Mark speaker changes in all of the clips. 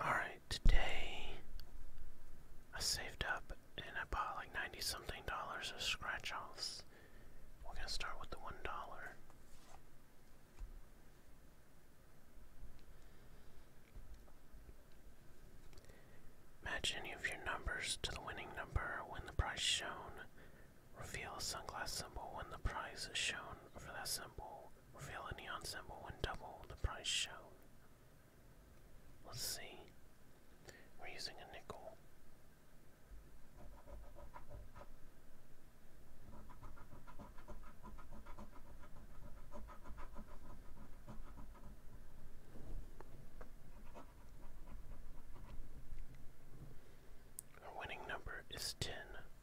Speaker 1: Alright, today I saved up and I bought like 90 something dollars of scratch offs. We're gonna start with the one dollar. Match any of your numbers to the winning number when the prize shown. Reveal a sunglass symbol when the prize is shown for that symbol. Reveal a neon symbol when double the price show. Let's see. We're using a nickel. Our winning number is ten.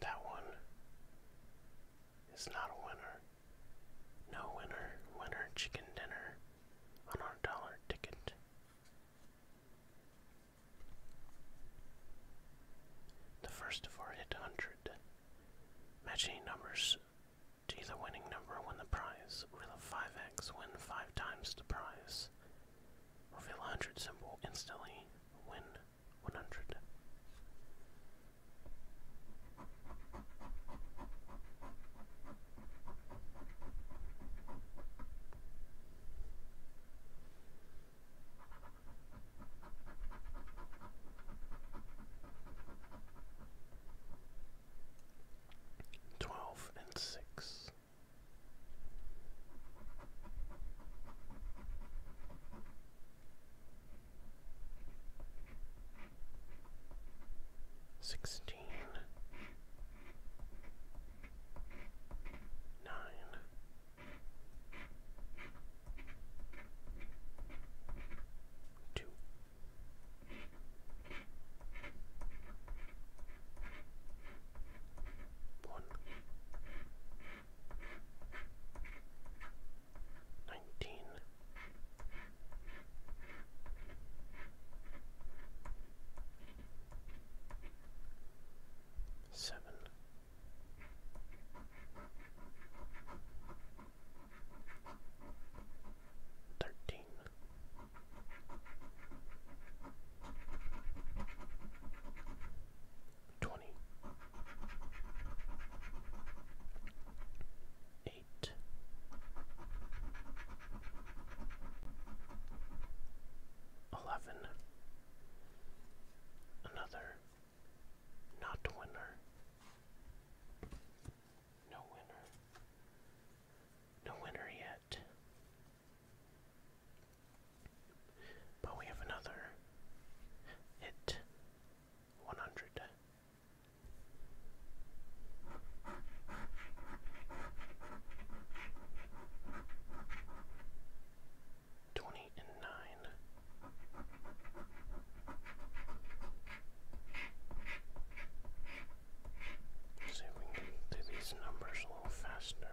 Speaker 1: That one is not a winner. No winner, winner chicken dinner on our dollar ticket. The first four hit 100, matching numbers to the winning number win the prize, will a 5x win 5 times the prize. Reveal a 100 symbol instantly, win 100. Twelve and six. Sixteen. Nine. Two. One. Nineteen. Seven. Thirteen. Twenty. Another not winner. No winner. No winner yet. But we have another hit 100 twenty and nine. See if we can get these numbers a little faster.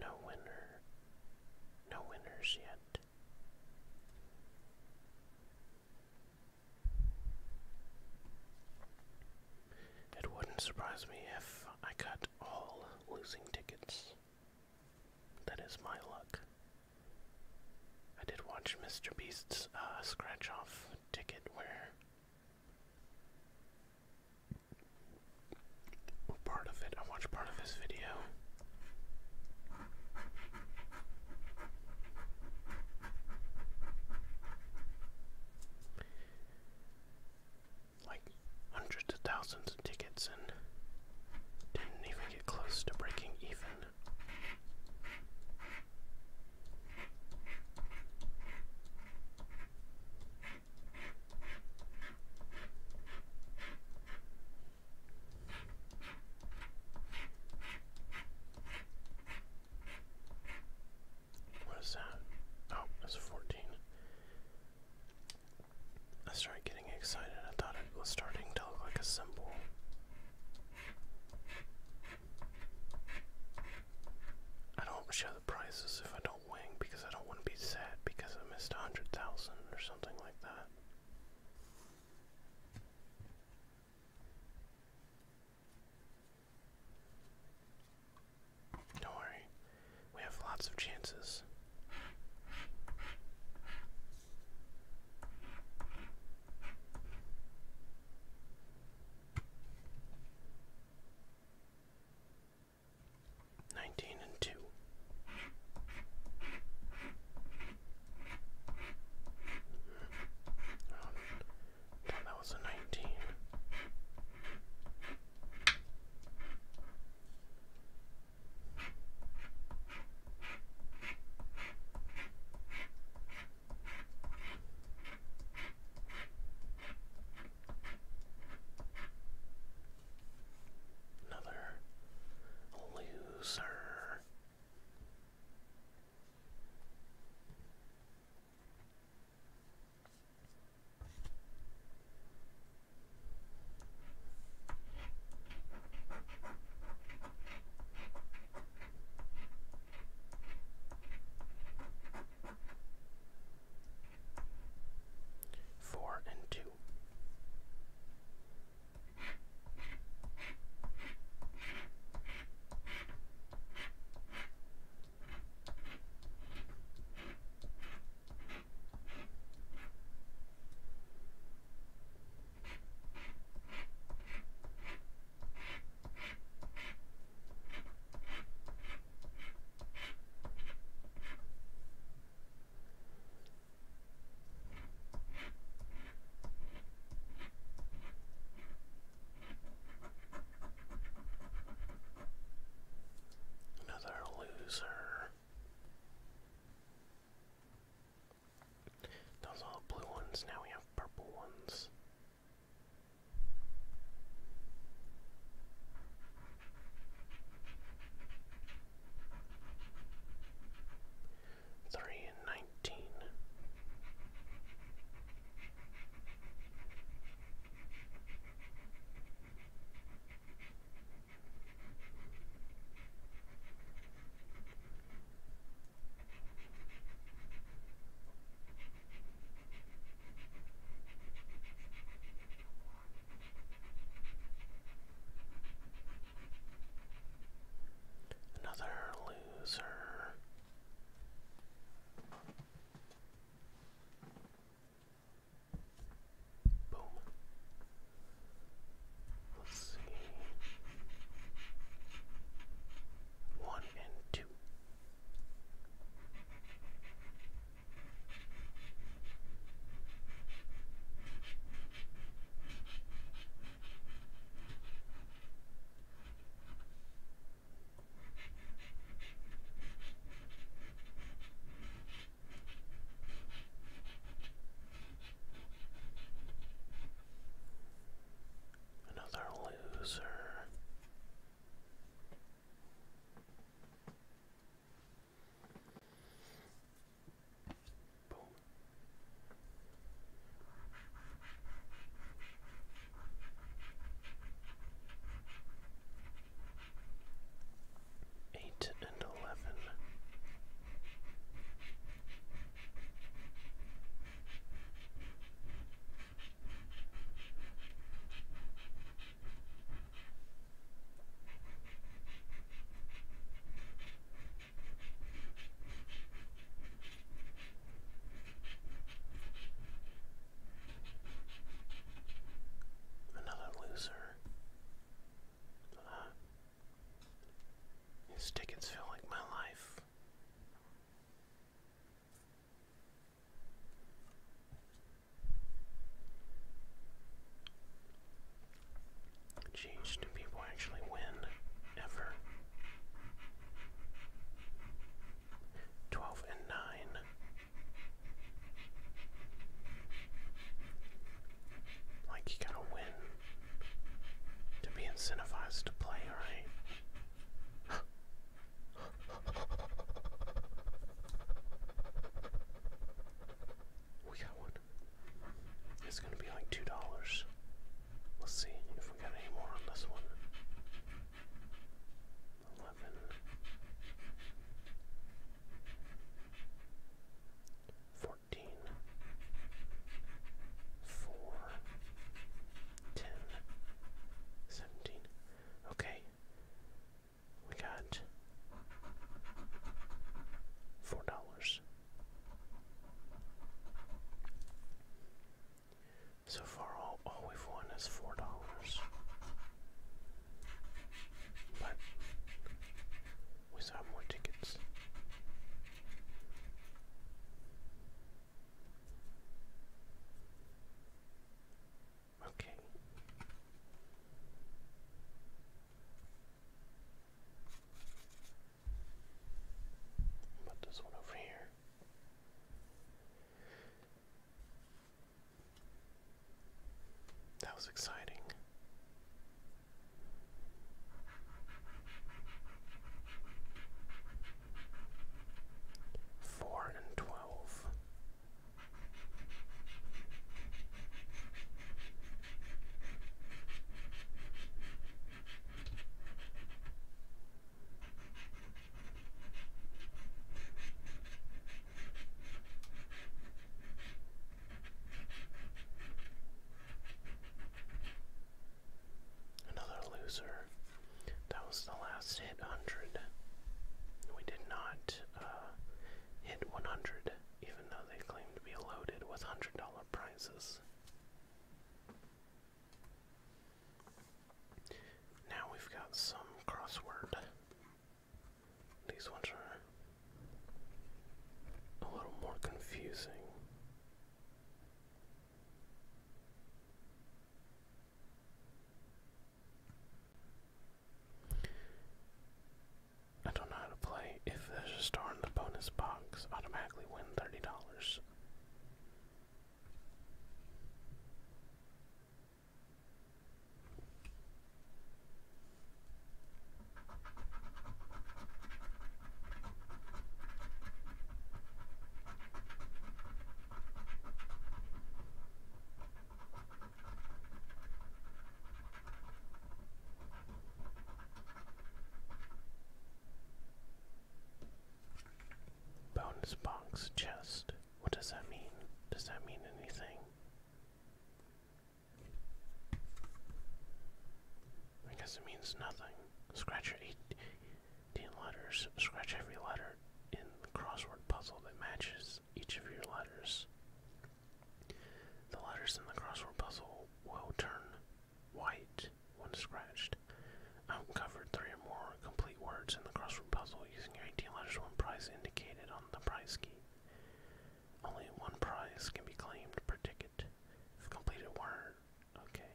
Speaker 1: No winner. No winners yet. It wouldn't surprise me if I cut all losing tickets. That is my luck. I did watch Mr. Beast's uh, scratch off ticket where part of it, I watched part of his video. Like hundreds of thousands of tickets and didn't even get close to breaking even. What is that? Oh, that's a 14. I started getting excited. I thought it was starting to look like a symbol. I don't show the prices if I don't win because I don't want to be sad because I missed a hundred thousand or something like that. Don't worry, we have lots of chances. Nineteen and two. Oh, that was a nineteen. Another loser. Four and two. Another loser. Those are all blue ones, now we have purple ones. Three and nineteen. Another loser. Boom. Let's see one and two. Another loser. Eight and eleven. Another loser. these tickets feel like my life. Jeez, do people actually win ever? 12 and 9. Like, you gotta win to be incentivized to play, right? We got one. It's gonna be like two dollars. Let's see if we got any more on this one. Eleven. Fourteen. Four. 10, Okay. We got four dollars. So far, all, all we've won is four dollars. But we saw more tickets. Okay. Put this one over here. That was exciting. Four and twelve. Another loser. That was the last hit 100. We did not uh, hit 100, even though they claimed to be loaded with $100 prizes. Now we've got some crossword. These ones are a little more confusing. I don't know how to play. If there's a star in the bonus box, automatically win $30. Bonus box chest. What does that mean? Does that mean anything? I guess it means nothing. Scratcher eight 10 letters. Scratch every letter in the crossword puzzle that matches each of your letters. The letters in the crossword puzzle will turn white when scratched. I've uncovered three or more complete words in the crossword puzzle using your 18 letters one prize indicated on the prize key. Only one prize can be claimed per ticket. If completed word, okay.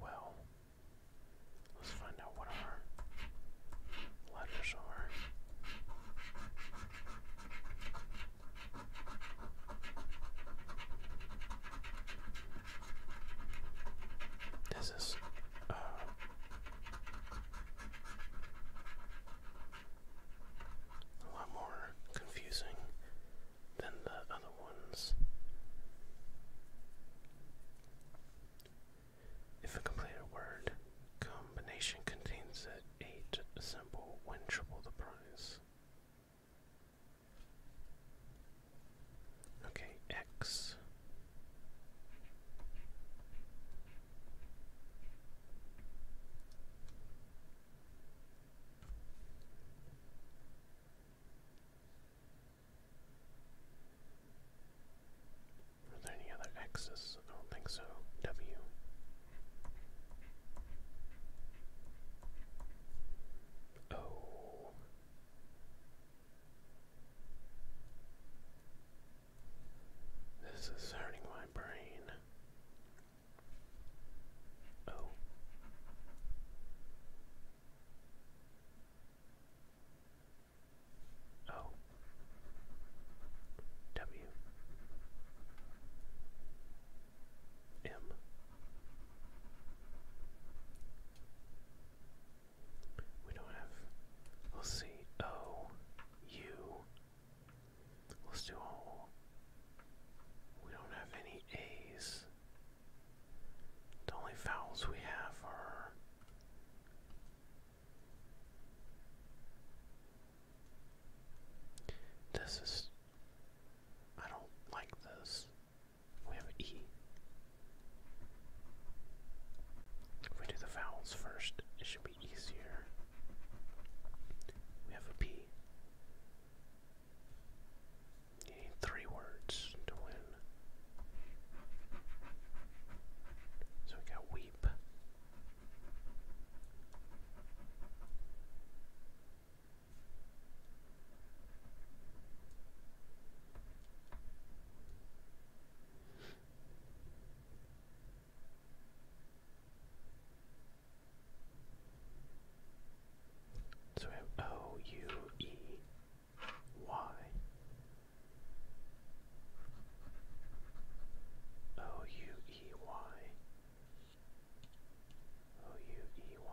Speaker 1: Well, let's find out what our letters are. This is a lot more confusing than the other ones. If a completed word combination contains an eight symbol, win triple the prize. Okay, X. Are there any other X's? I don't think so. W. O. This is hurting my brain. Oh. oh. We don't have. We'll see. O. U. Let's do all. We don't have any A's. The only vowels we have are. This is. I don't like this. We have E. If we do the vowels first, it should be easier. We have a P. need three words to win. So we got weep. So we have O U E Y O U E Y O U E Y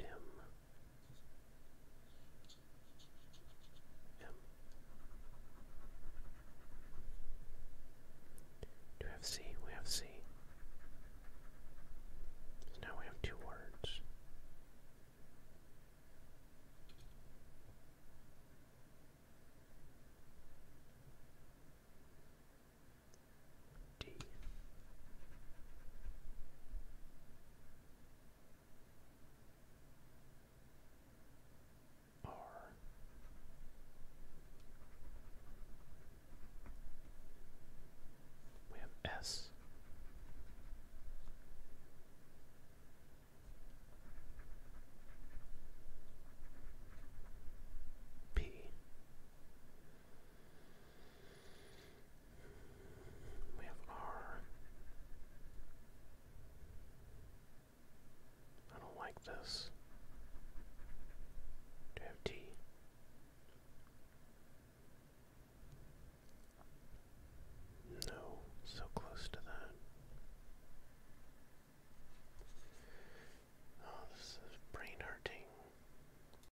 Speaker 1: M M we have C? We have C. So now we have two words. D. R. We we have R. I don't like this. Do we have T? No, so close to that. Oh, this is brain hurting.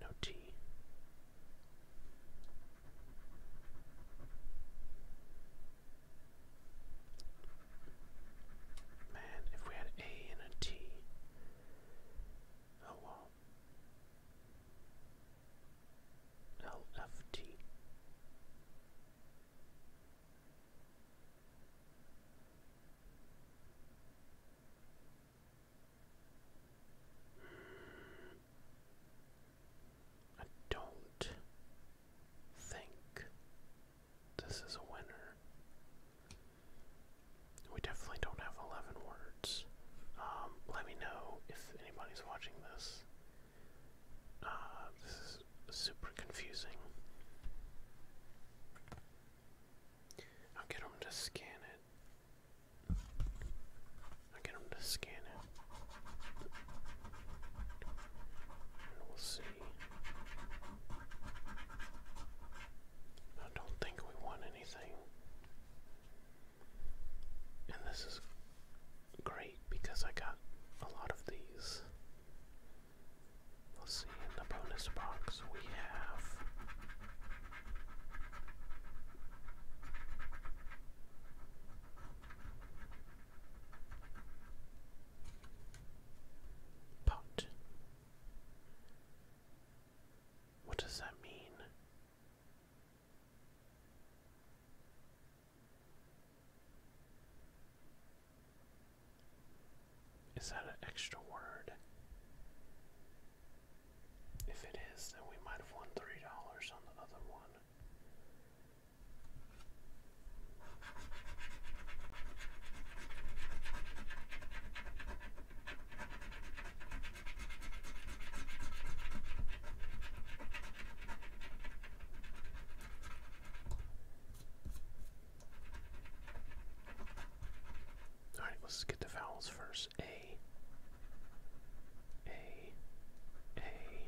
Speaker 1: No T. Man, if we had A and a T. Oh, I don't think this is a winner. We definitely don't have 11 words. Um, let me know if anybody's watching this. Uh, this is super confusing. I'll get him to scan it. I'll get them to scan it. And we'll see. I don't think we want anything. And this is great because I got a lot of these. Let's see, in the bonus box we have Pot. What does that mean? Is that an extra word? If it is, then we might have won three dollars on the other one. Alright, let's get the vowels first. A. A. A. A.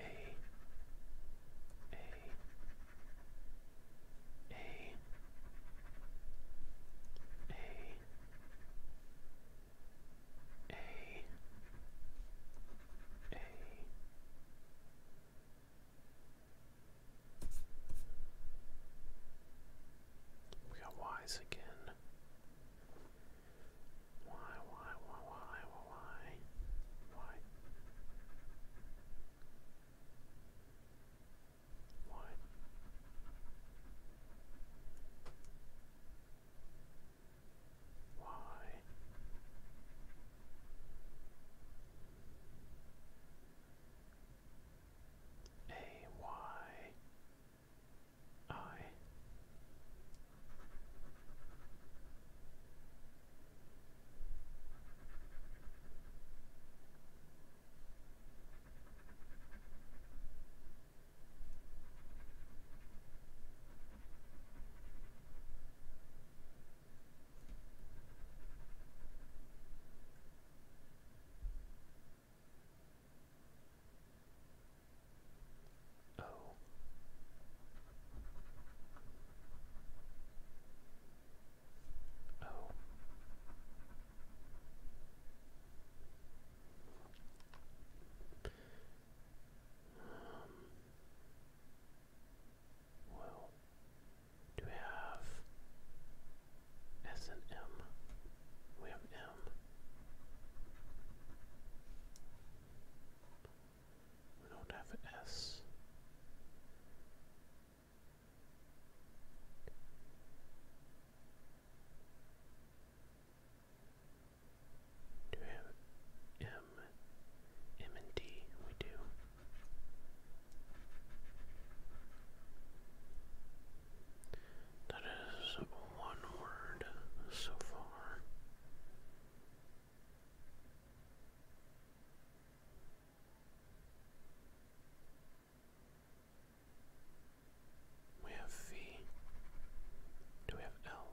Speaker 1: A. A. A. A. A. We got Y's again. Why, why, why, why, why, why? Why? Why? A Y I Oh. Oh. Um. Well, do we have S and M? We have M. We don't have an S. Do we have M? M and D, we do. That is one word so far. We have V. Do we have L?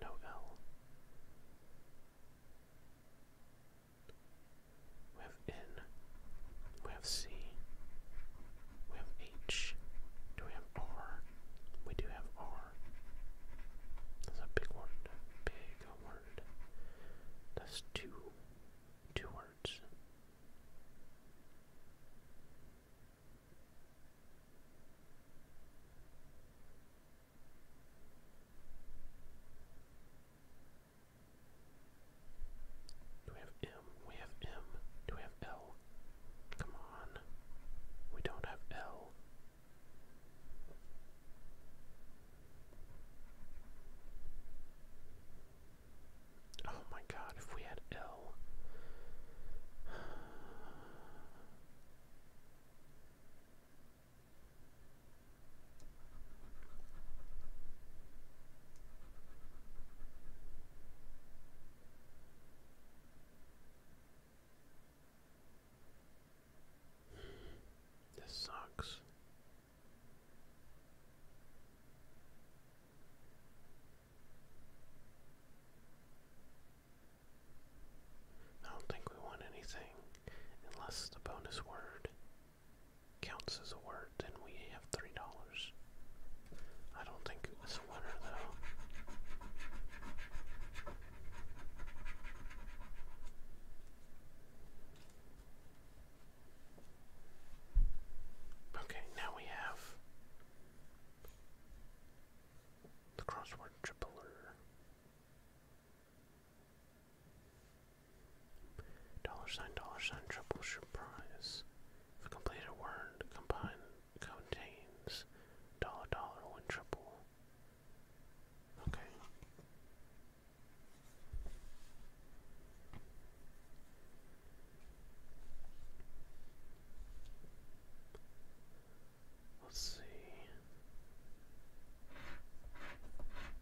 Speaker 1: No L we have N, we have C, we have H, do we have R? We do have R. That's a big word, big word. That's two, two words. Do we have M? We have M. Do we have L? Come on. We don't have L. Oh my god, if we had L. This sucks. I don't think we want anything unless the bonus word counts as a word, then we have three dollars. I don't think it was a winner though. Okay, now we have the crossword tripler. Dollar sign, dollar sign, triple surprise. If a completed word contains dollar, dollar, one triple. Okay. Let's see.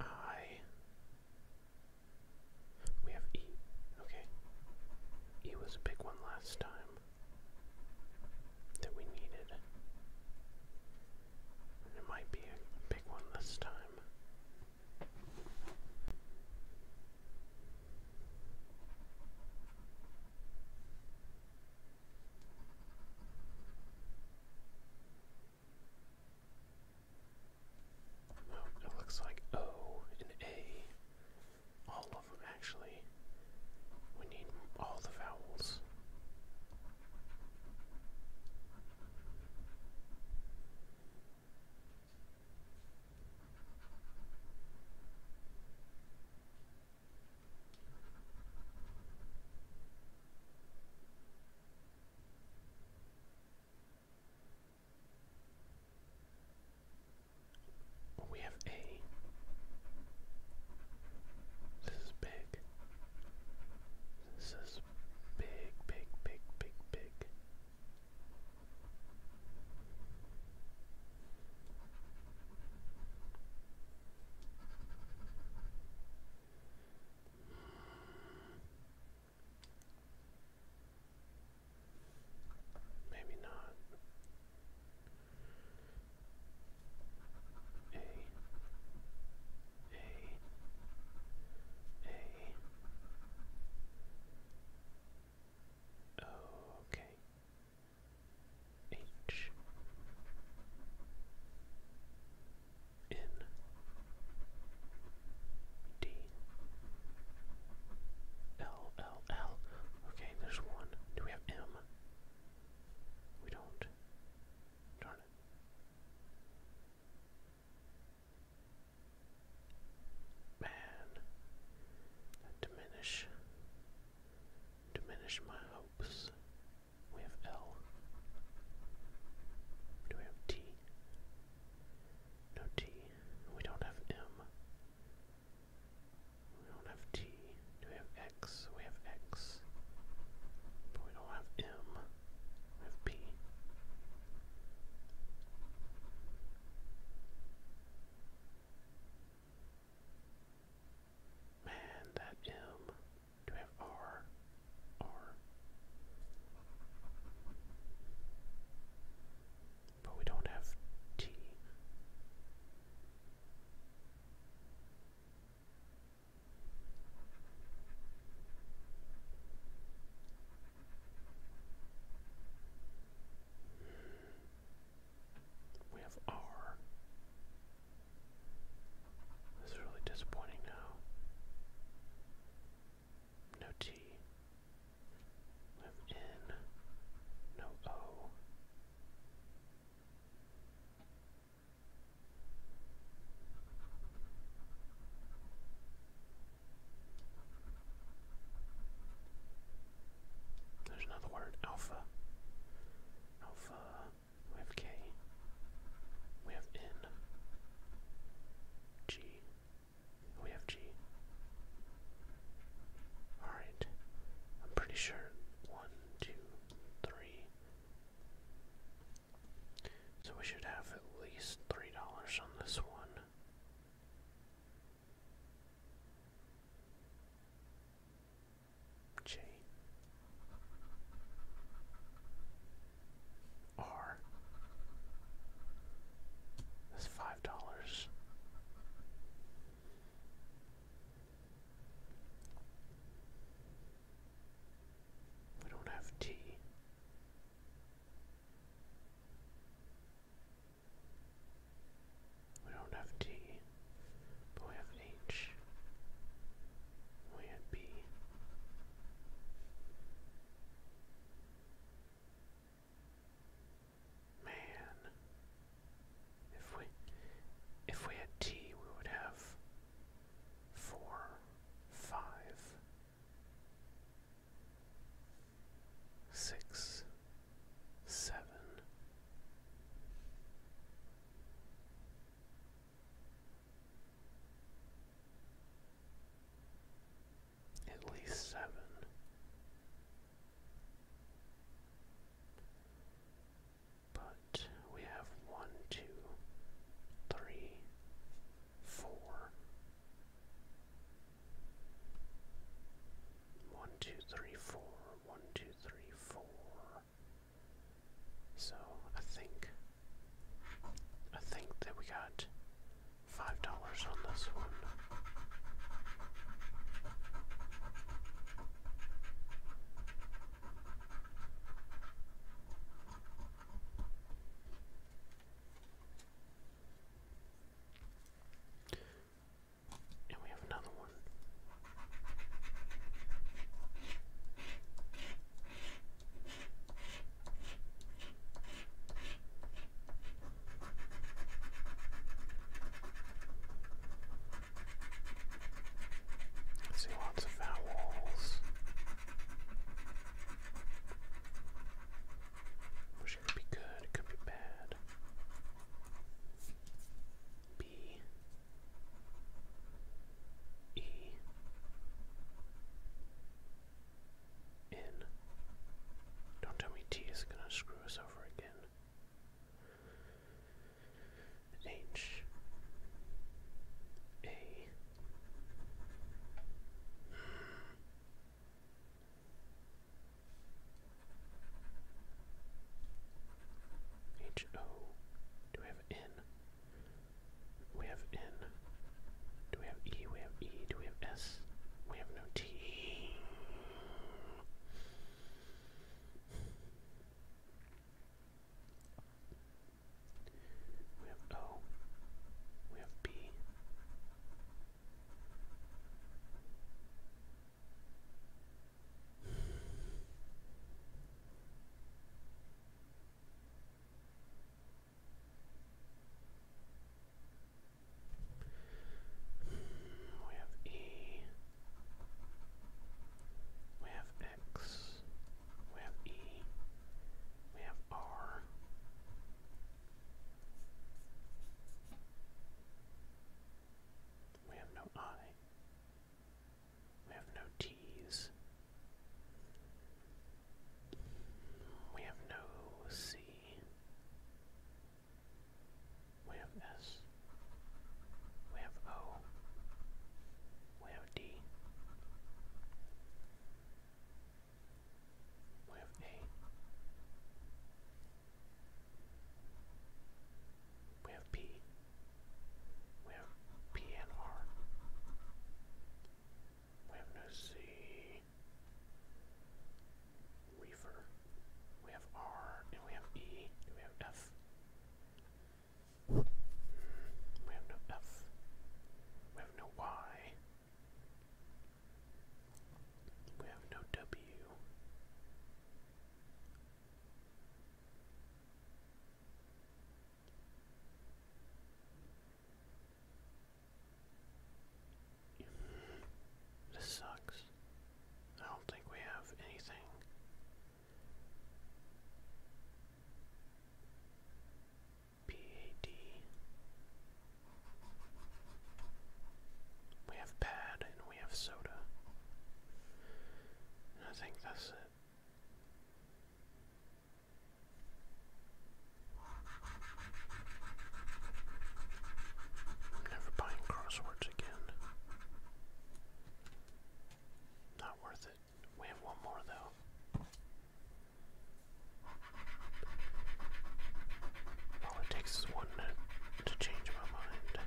Speaker 1: I. We have E. Okay. E was a big one last time that we needed. it might be a big one this time. Oh, it looks like O and A. All of them, actually. We need all the vowels. We have A. This is big. This is big, big, big, big, big. Maybe not. A, A, A. Okay. H N D L L L. Okay, there's one. Do we have M? We don't. Darn it. Man, diminish diminish my hopes we have L. Do we have T? No T. We don't have M. We don't have T. Do we have X? We have X. But we don't have M. We have P. Man, that M. Do we have R? R. But we don't have T. We have R. This is really disappointing now. No T. No N. No O. There's another word, alpha. Alpha. We have K. We have N. G. We have G. Alright. I'm pretty sure. One, two, three. So we should have at least three dollars on this one. J R. That's five dollars. We don't have T. We don't have T. But we have H. We have B. Man. If we if we had T we would have four, five, six, seven, at least seven. But we have one, two, three, four. One, two, three, four. One, two, three, four. So I think I think that we got five dollars on this one. And we have another one one. I see lots of vowels. Which could be good, it could be bad. B E N. Don't tell me T is gonna screw us over again. H A. H O. Do we have N? We have N. Do we have E? We have E. Do we have S? We have no T. We have O. We have B. We have E. We have X. We have E. We have R. We have no I. We have no T's. We have no C. We have S. We have O. We have D. We have A. We have P. We have P and R. We have no C. Weaver. We have R and we have E and we have F. Hmm, we have no F. We have no Y. We have no W. This sucks. I don't think we have anything. PAD. We have pad and we have soda. I think that's it never buying crosswords again. Not worth it. We have one more though. All it takes is one to change my mind.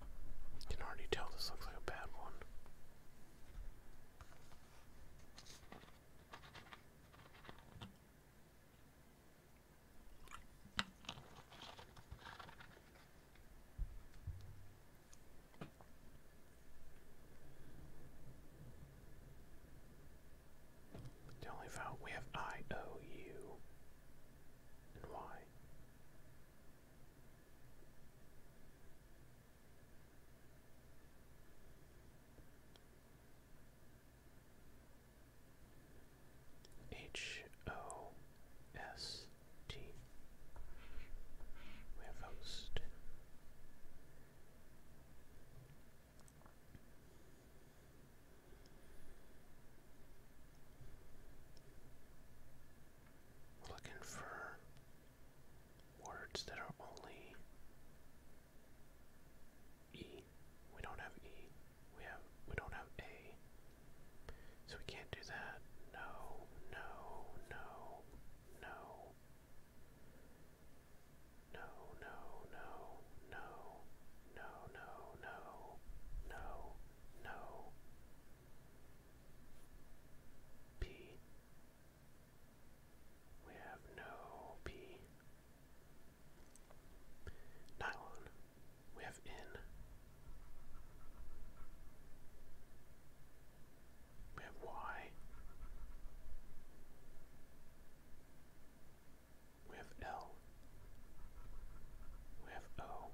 Speaker 1: You can already tell this looks like a bad one. The only vowel we have I O U and Y. H O S T. We have host looking for words that are only E. We don't have E. We have we don't have A. So we can't do that. No, no, no, no. No, no, no, no, no, no, no, P. We have no P. Nylon. We have N. We have Y. We have L. We have O.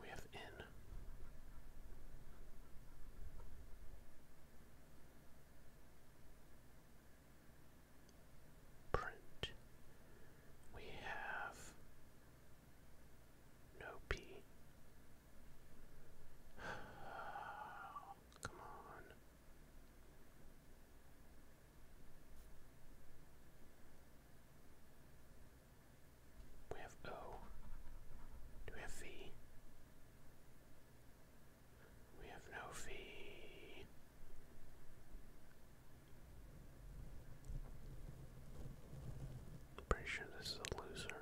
Speaker 1: We have n. Print. We have no P. come on. We have O. Do we have V? We have no V. pretty sure this is a loser.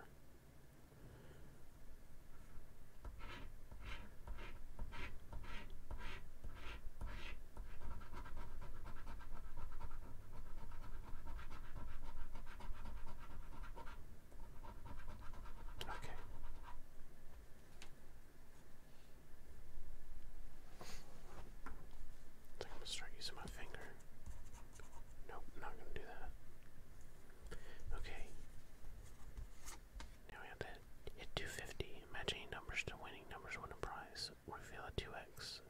Speaker 1: Okay. I am gonna start using my finger. Nope, not gonna do that. Okay. Now we have to hit 250. Matching numbers to winning numbers win a prize reveal a 2x,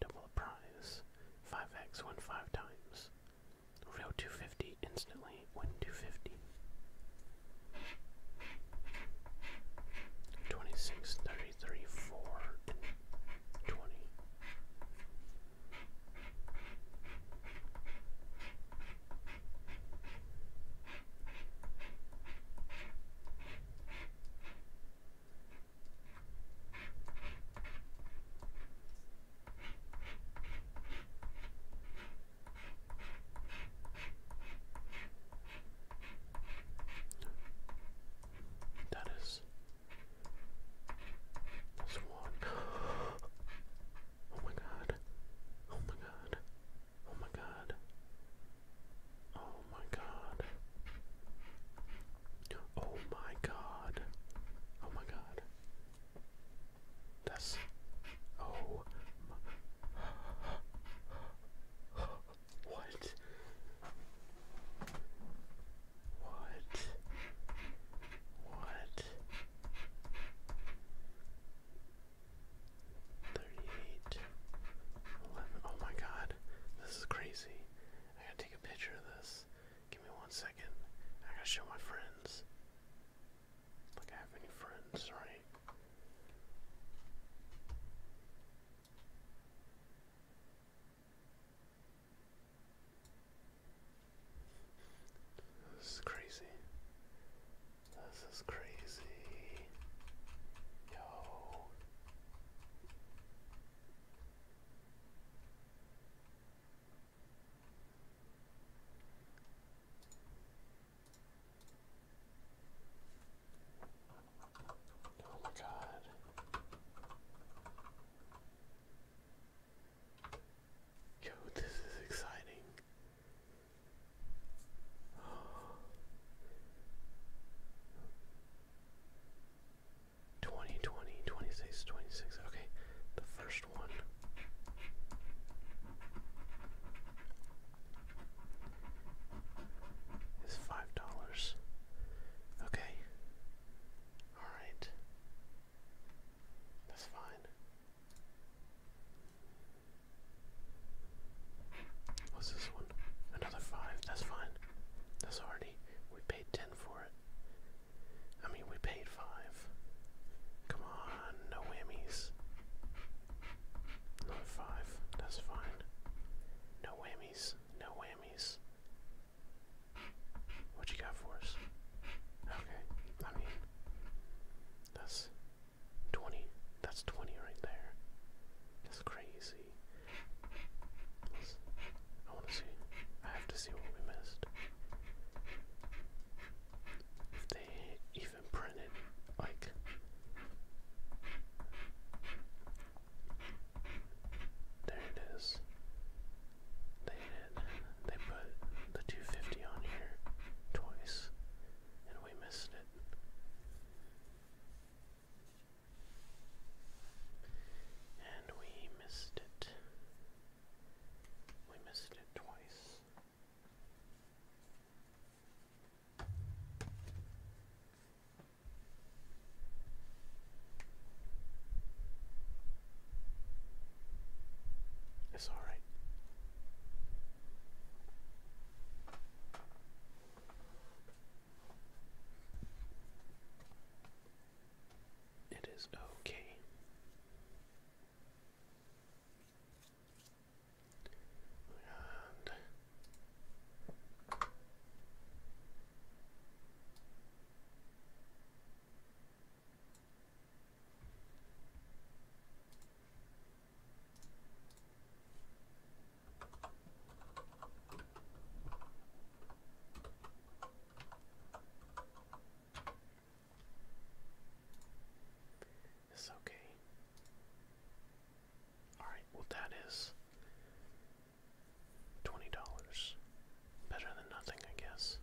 Speaker 1: double the prize, 5x, win 5 times. Reveal 250 instantly, win 250. 26, 33, 4, 20. That is this one. Oh my god. Oh my god. Oh my god. Oh my god. Oh my god. Oh my god. That's. Oh. My, what? What? What? 38 11 oh my god this is crazy I gotta take a picture of this. Give me one second. I gotta show my friends. Like I have any friends, right? This is crazy. This is crazy. Yo. Oh my God. Yo, this is exciting. 20, 20, 26, 26. Okay, the first one. Is five dollars. Okay. Alright. That's fine. What's this one? Another five. That's fine. That's already. We paid ten for it. I mean, we paid five. Come on, no whammies. Another five. That's fine. No whammies. No whammies. What you got for us? Okay. I mean, that's 20. That's 20 right there. That's crazy. I want to see. I have to see what we missed. they even printed, like. There it is. They did. They put the 250 on here twice, and we missed it. And we missed it. We missed it twice. It's all right. It is okay. It's okay. Alright, well, that is $20. Better than nothing, I guess.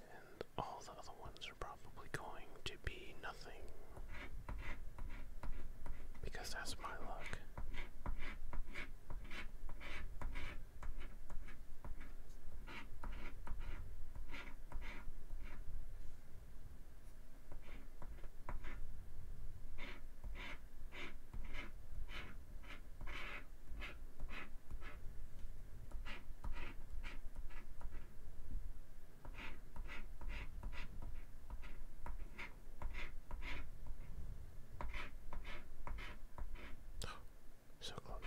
Speaker 1: And all the other ones are probably going to be nothing. Because that's my luck. Oh, so close.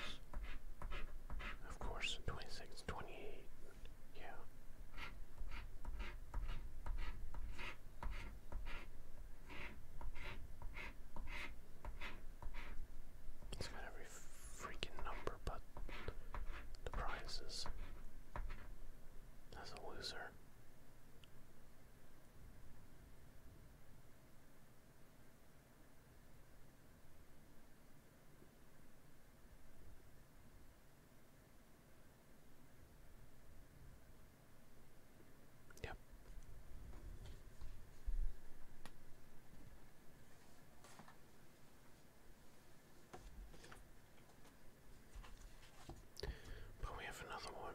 Speaker 1: Of course, 26, 28, yeah. It's got every freaking number but the prizes. That's a loser. Yep, but we have another one.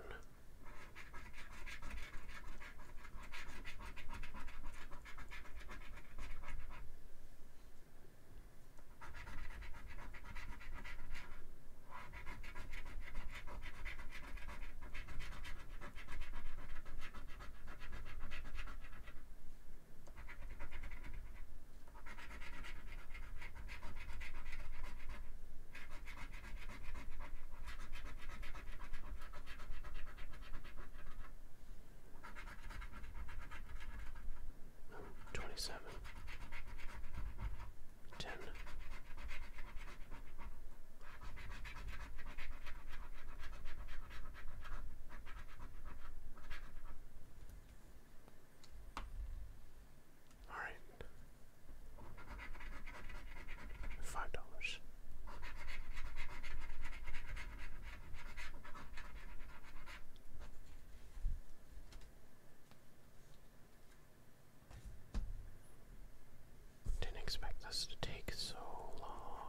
Speaker 1: 27 10 all right. Five dollars. Didn't expect this to take so long.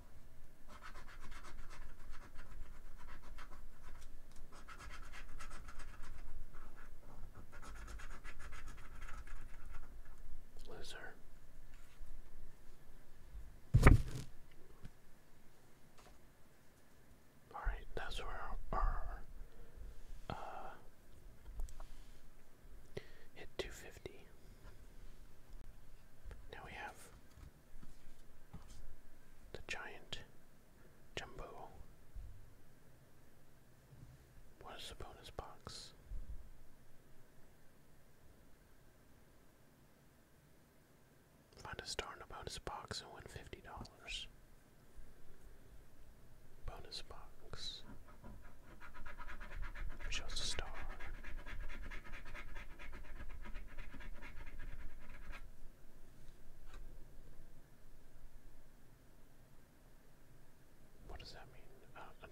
Speaker 1: Loser. All right, that's where our uh, hit 250. Now we have the giant jumbo. What is the bonus box? Find a star in a bonus box and win fifty dollars. Bonus box shows a star. What does that mean? Uh,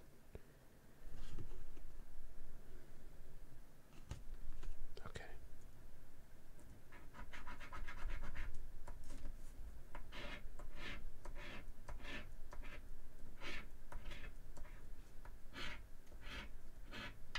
Speaker 1: okay.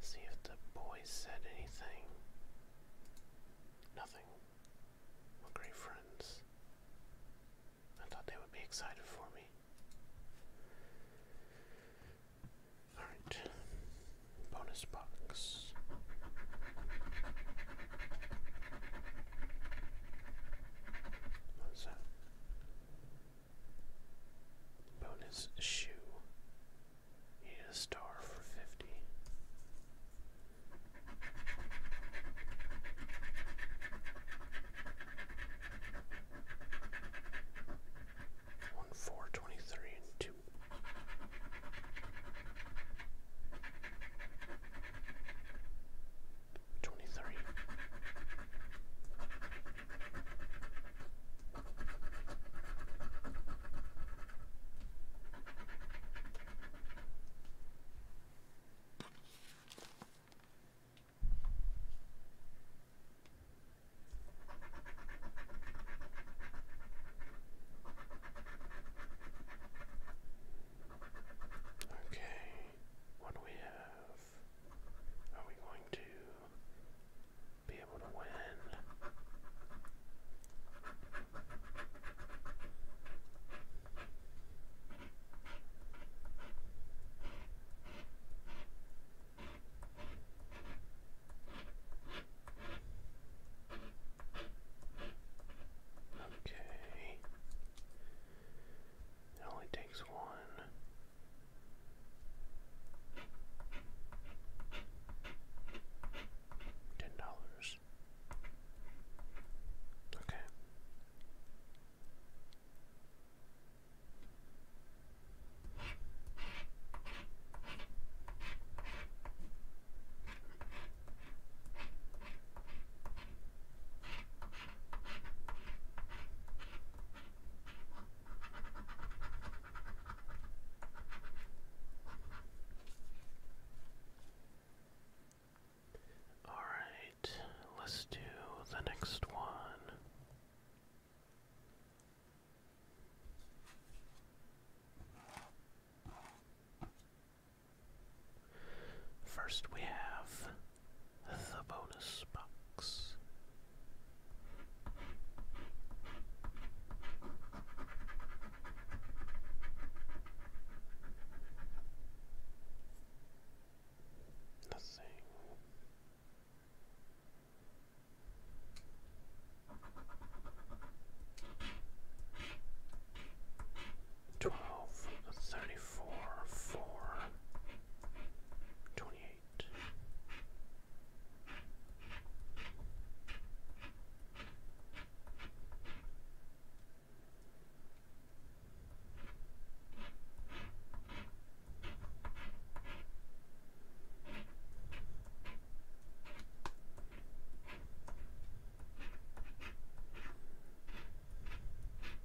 Speaker 1: See if the boy said anything. Nothing. we great friends. I thought they would be excited for me. Alright. Bonus box. What's that? Bonus shoe. He a star for fifty. One four twenty three two. 23. Okay what do we have? Are we going to be able to win? Okay. It only takes one. Ten dollars. Okay. All right, let's do the next one. First, we have the bonus box. Nothing twelve, thirty-four, four, twenty-eight. Twenty-eight.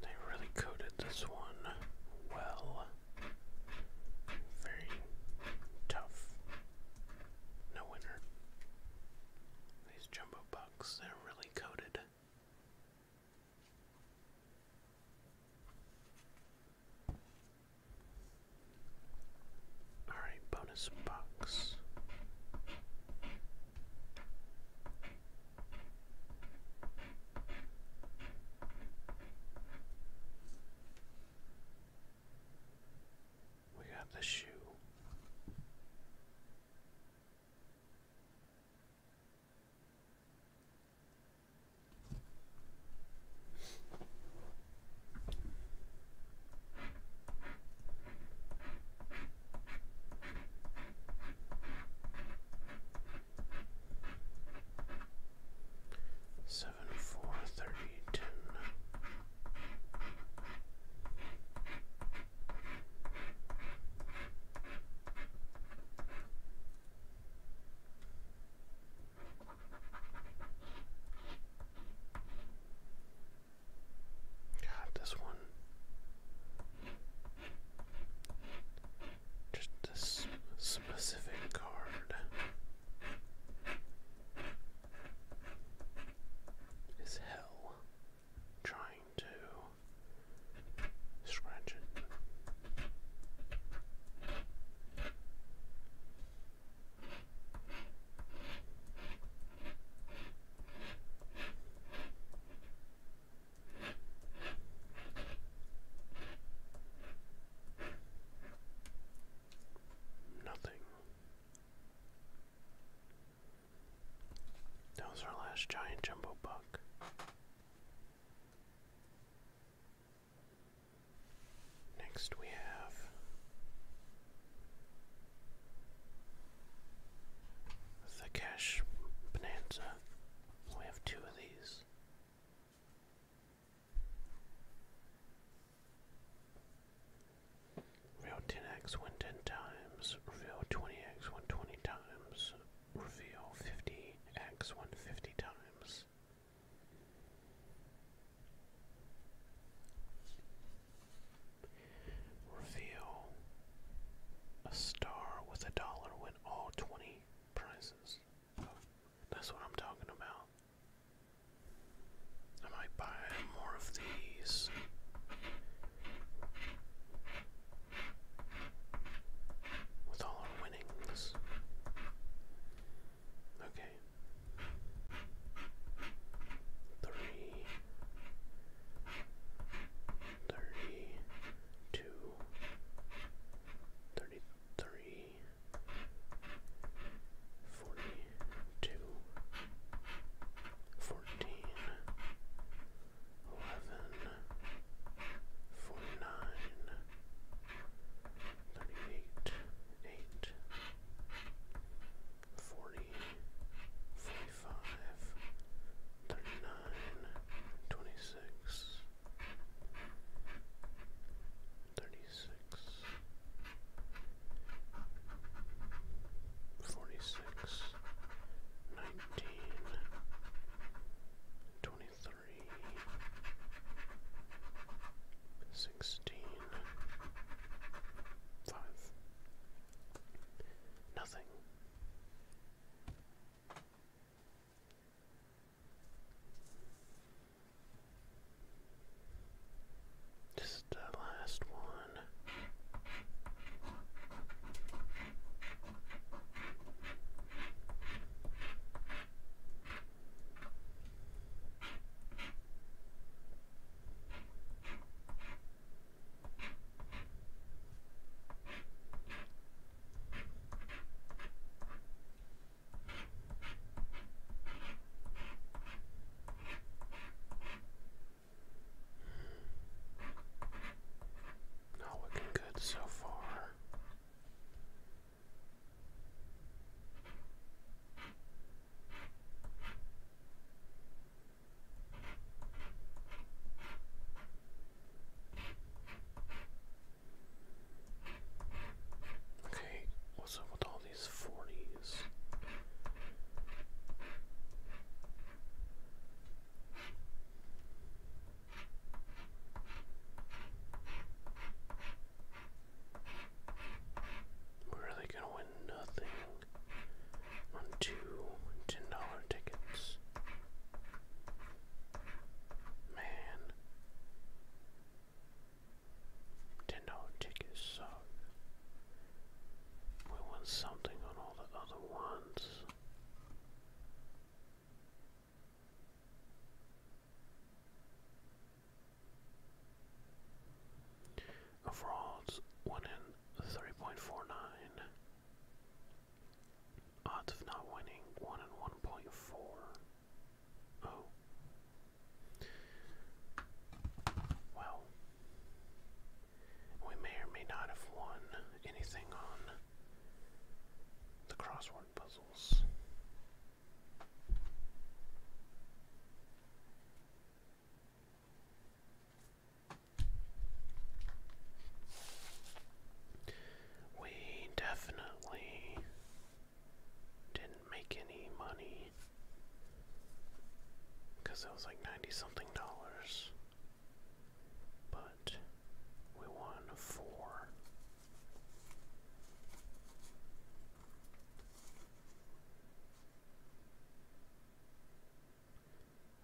Speaker 1: They really coated this one well. Very tough. No winner. These jumbo bucks, they're really coated. All right, bonus box. We got the shoe. Seven four thirty ten. God, this one. Just this specific card. Is hell trying to scratch it? Nothing. That was our last giant jumbo book. Next we have the Cash Bonanza. We have two of these. Reveal 10x win times, reveal 20x win times, reveal 50x win times. Reveal a star with a dollar win all 20 prizes. that's what I'm talking about. I might buy more of these. With all our winnings. Okay. Three, thirty two, thirty three, forty two, fourteen, eleven, forty nine thirty-eight, eight, forty, forty-five, thirty-nine, twenty-six, thirty-six, forty-six, nineteen, twenty-three, 16 sixteen, five, nothing. Just the last one. Not looking good so far. Okay, what's up with all these forties? We're really gonna win nothing on two ten dollar tickets. Man, ten dollar tickets suck. We won something on all the other ones. Overalls, 1 in 3.49. Odds of not winning, 1 in 1.4. Oh. Well, we may or may not have won anything on the crossword puzzles. We definitely didn't make any money because it was like 90 something dollars, but we won four.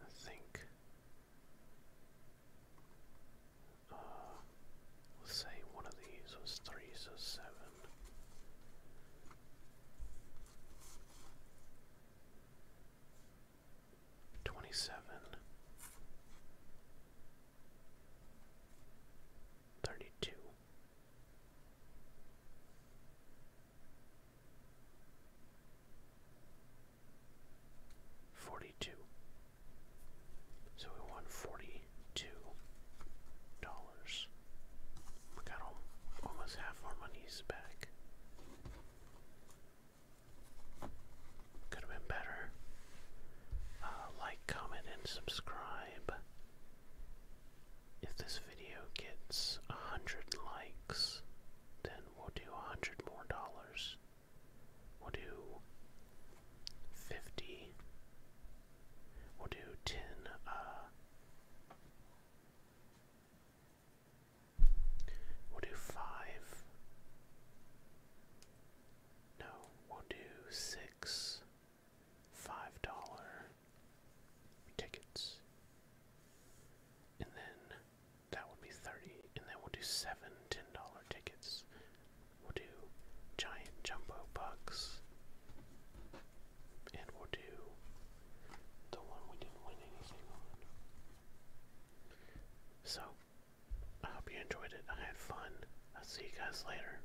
Speaker 1: I think uh, we say one of these was three, so seven. Twenty 42 so we won 42 dollars we got almost half our money's back could have been better uh, like comment and subscribe if this video gets a hundred likes, then we'll do a hundred more dollars. We'll do fifty. We'll do ten. Uh, we'll do five. No, we'll do six five dollar tickets. And then that would be 30. And then we'll do seven $10 tickets. We'll do giant jumbo bucks. And we'll do the one we didn't win anything on. So, I hope you enjoyed it. I had fun. I'll see you guys later.